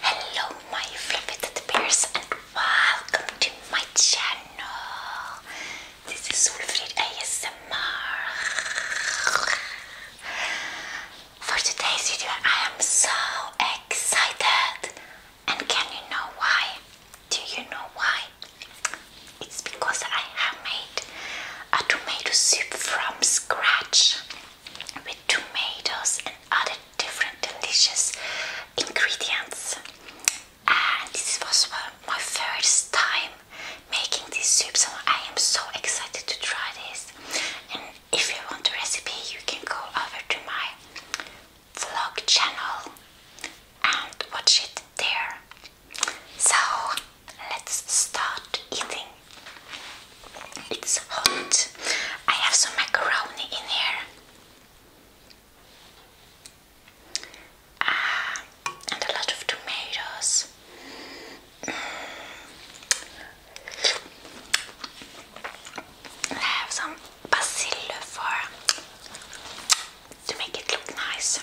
Hello my flipped peers, and welcome to my channel. This is Wilfried ASMR. For today's video, I am so excited. And can you know why? Do you know why? It's because I have made a tomato soup from scratch with tomatoes and other different delicious ingredients. And this was my first time making this soup, so I am so excited to try this. If you want the recipe, you can go over to my vlog channel and watch it there. So let's start eating. It's hot. I have some macaroni in here. Ah, and a lot of tomatoes I have some basil for to make it look nice.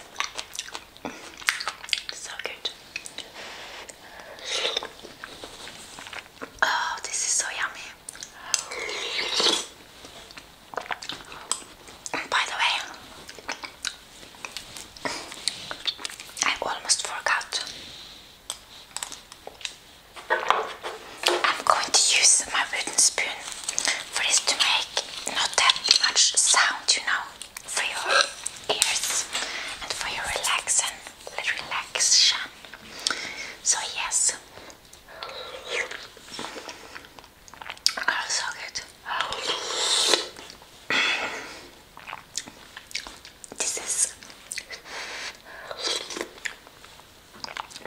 So good. Oh, this is so yummy. By the way, I almost forgot I'm going to use my wooden spoon for this to make not that much sound, you know, for your ears and for your relaxing, relaxation. So yes. Oh, so good. This is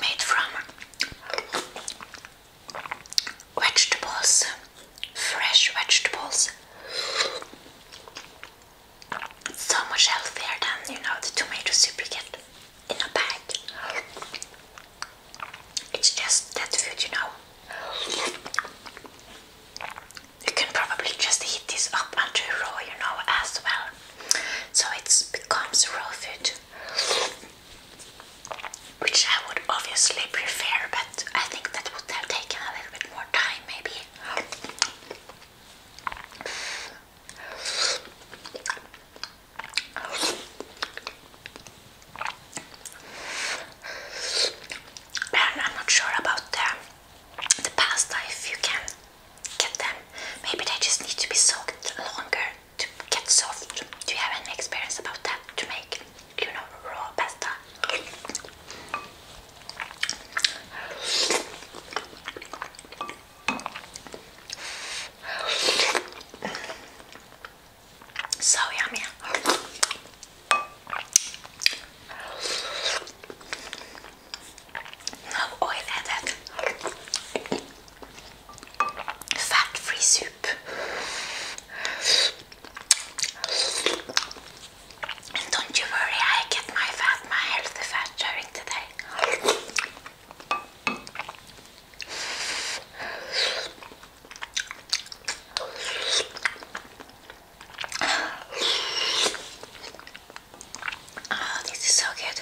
made from vegetables, fresh vegetables. so much healthier than you know the tomato soup you get in a bag. It's just that food, you know you can probably just heat this up until raw, you know, as well. So it becomes raw food, which I would obviously prefer, but I think that would have taken a little bit more time, maybe. And I'm not sure about the the past life you can get them. Maybe they just need to be soaked longer to get soft. Do you have any experience about that to make, you know, raw pasta? So yummy. No oil added. Fat-free soup. And don't you worry, I get my fat, my healthy fat during the Oh, this is so good.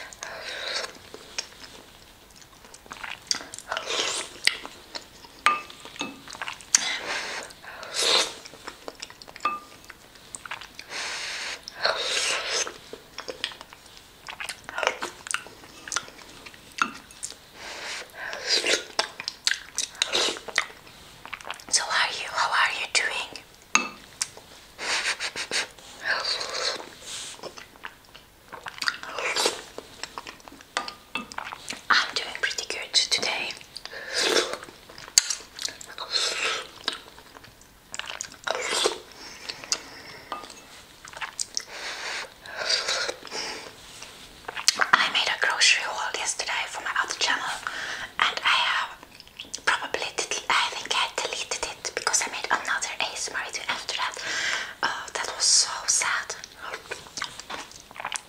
So are you? How are you doing? I'm doing pretty good today. I made a grocery haul yesterday for my other channel and I have probably, I think I deleted it because I made another ASMR video after that. Oh, that was so sad.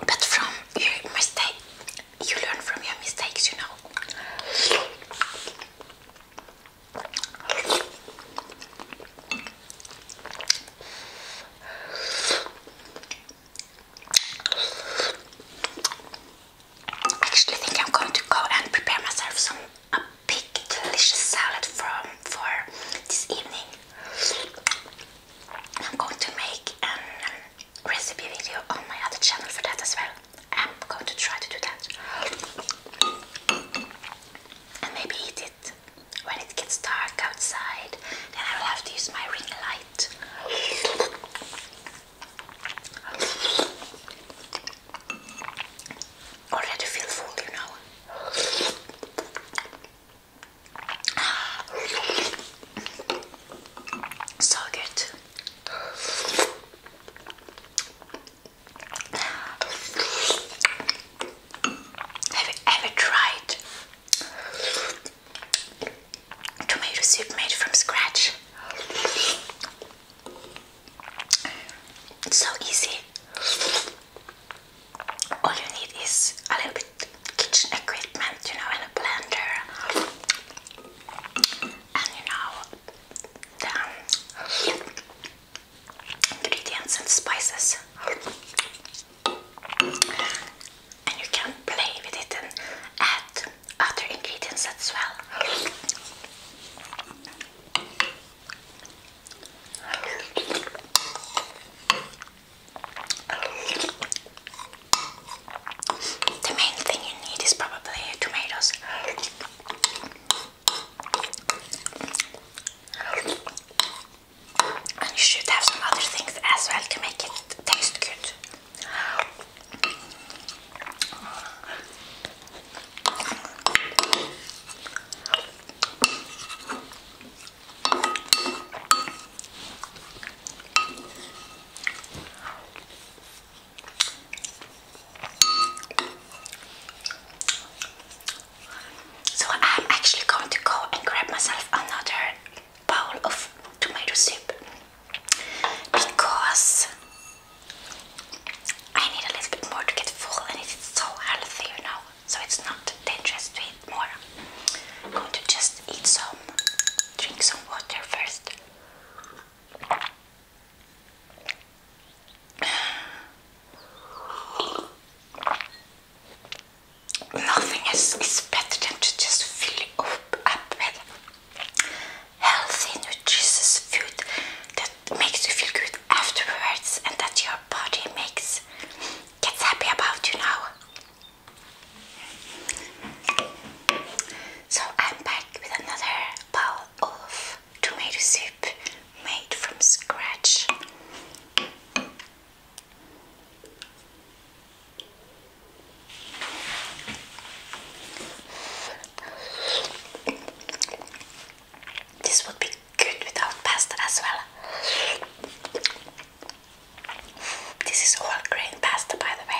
But from your mistake, you learn from your mistakes, you know actually think I'm going to go and prepare myself some a big delicious salad for this evening. I'm going to make a um, recipe video on my other channel for that as well. I'm going to try to do that. And maybe eat it when it gets dark outside. Then I will have to use my ring light light. Already feel full, you know. So good. Have you ever tried tomato soup made from scratch. It's so easy. All you need is a little bit kitchen equipment, you know, and a blender, and you know the ingredients and spices and you can play with it and add other ingredients as well. The main thing you need is probably tomatoes and you should have some other things as well to make it taste good. So I'm actually going to go and grab myself another bowl of tomato soup because I need a little bit more to get full and it's so healthy, you know, so it's not dangerous to eat more. I'm going to just eat some, drink some water first nothing is, is better than to just fill up, up with healthy, nutritious food that makes you feel good afterwards and that your body makes gets happy about you now. So I'm back with another bowl of tomato soup made from scratch. This would be good without pasta as well. This is all grain pasta, by the way.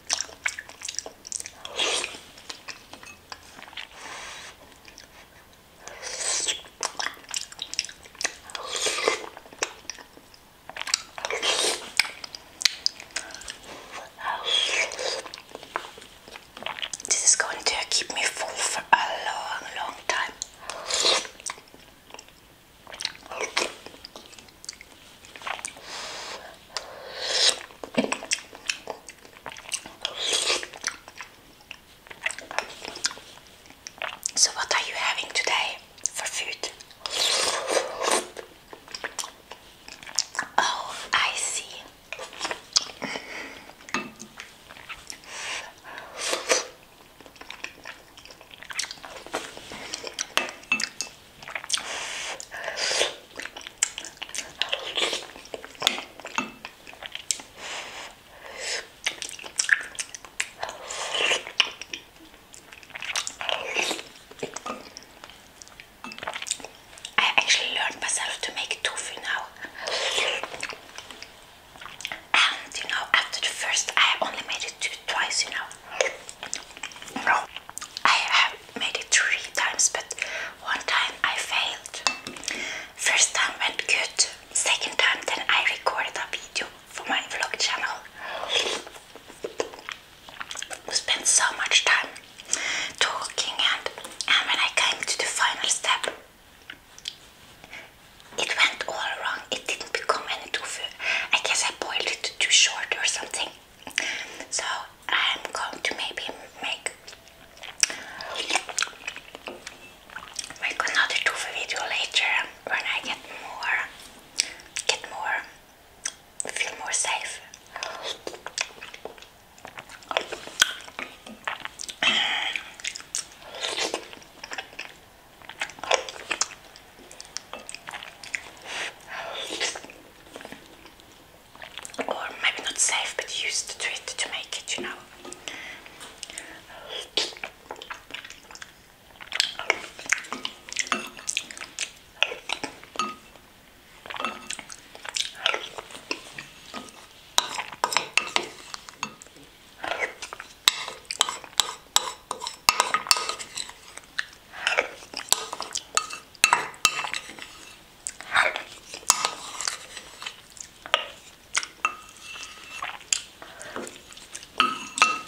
This is going to keep me full for a long, long time. So, what are you having today for food? Oh, I see. I actually learned myself to make tofu now. And you know, after the first, I only made it two, twice, you no, I have made it three times, but one time I failed. First time went good, second time then I recorded a video for my vlog channel. We spent so much time talking and, and when I came to the final step, it went all wrong. It didn't become any tofu. I guess I boiled it too short or something. So I'm going to maybe make make another two video later when I get more get more feel more safe or maybe not safe but use the tweet to make it, you know.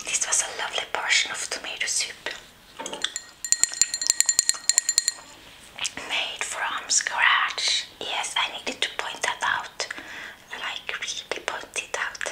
This was a lovely portion of tomato soup made from scratch. Yes, I needed to point that out, like really point it out.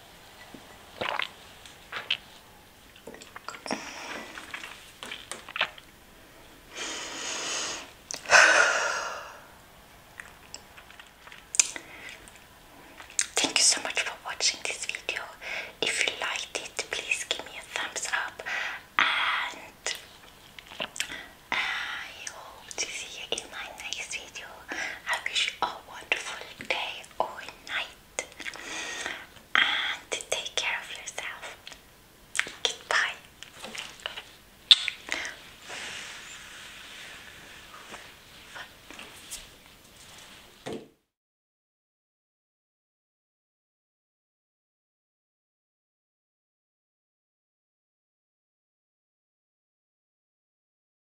Thank you so much for watching this video. If you liked it, please give me a thumbs up and I hope to see you in my next video. I wish you a wonderful day all night and take care of yourself. Goodbye.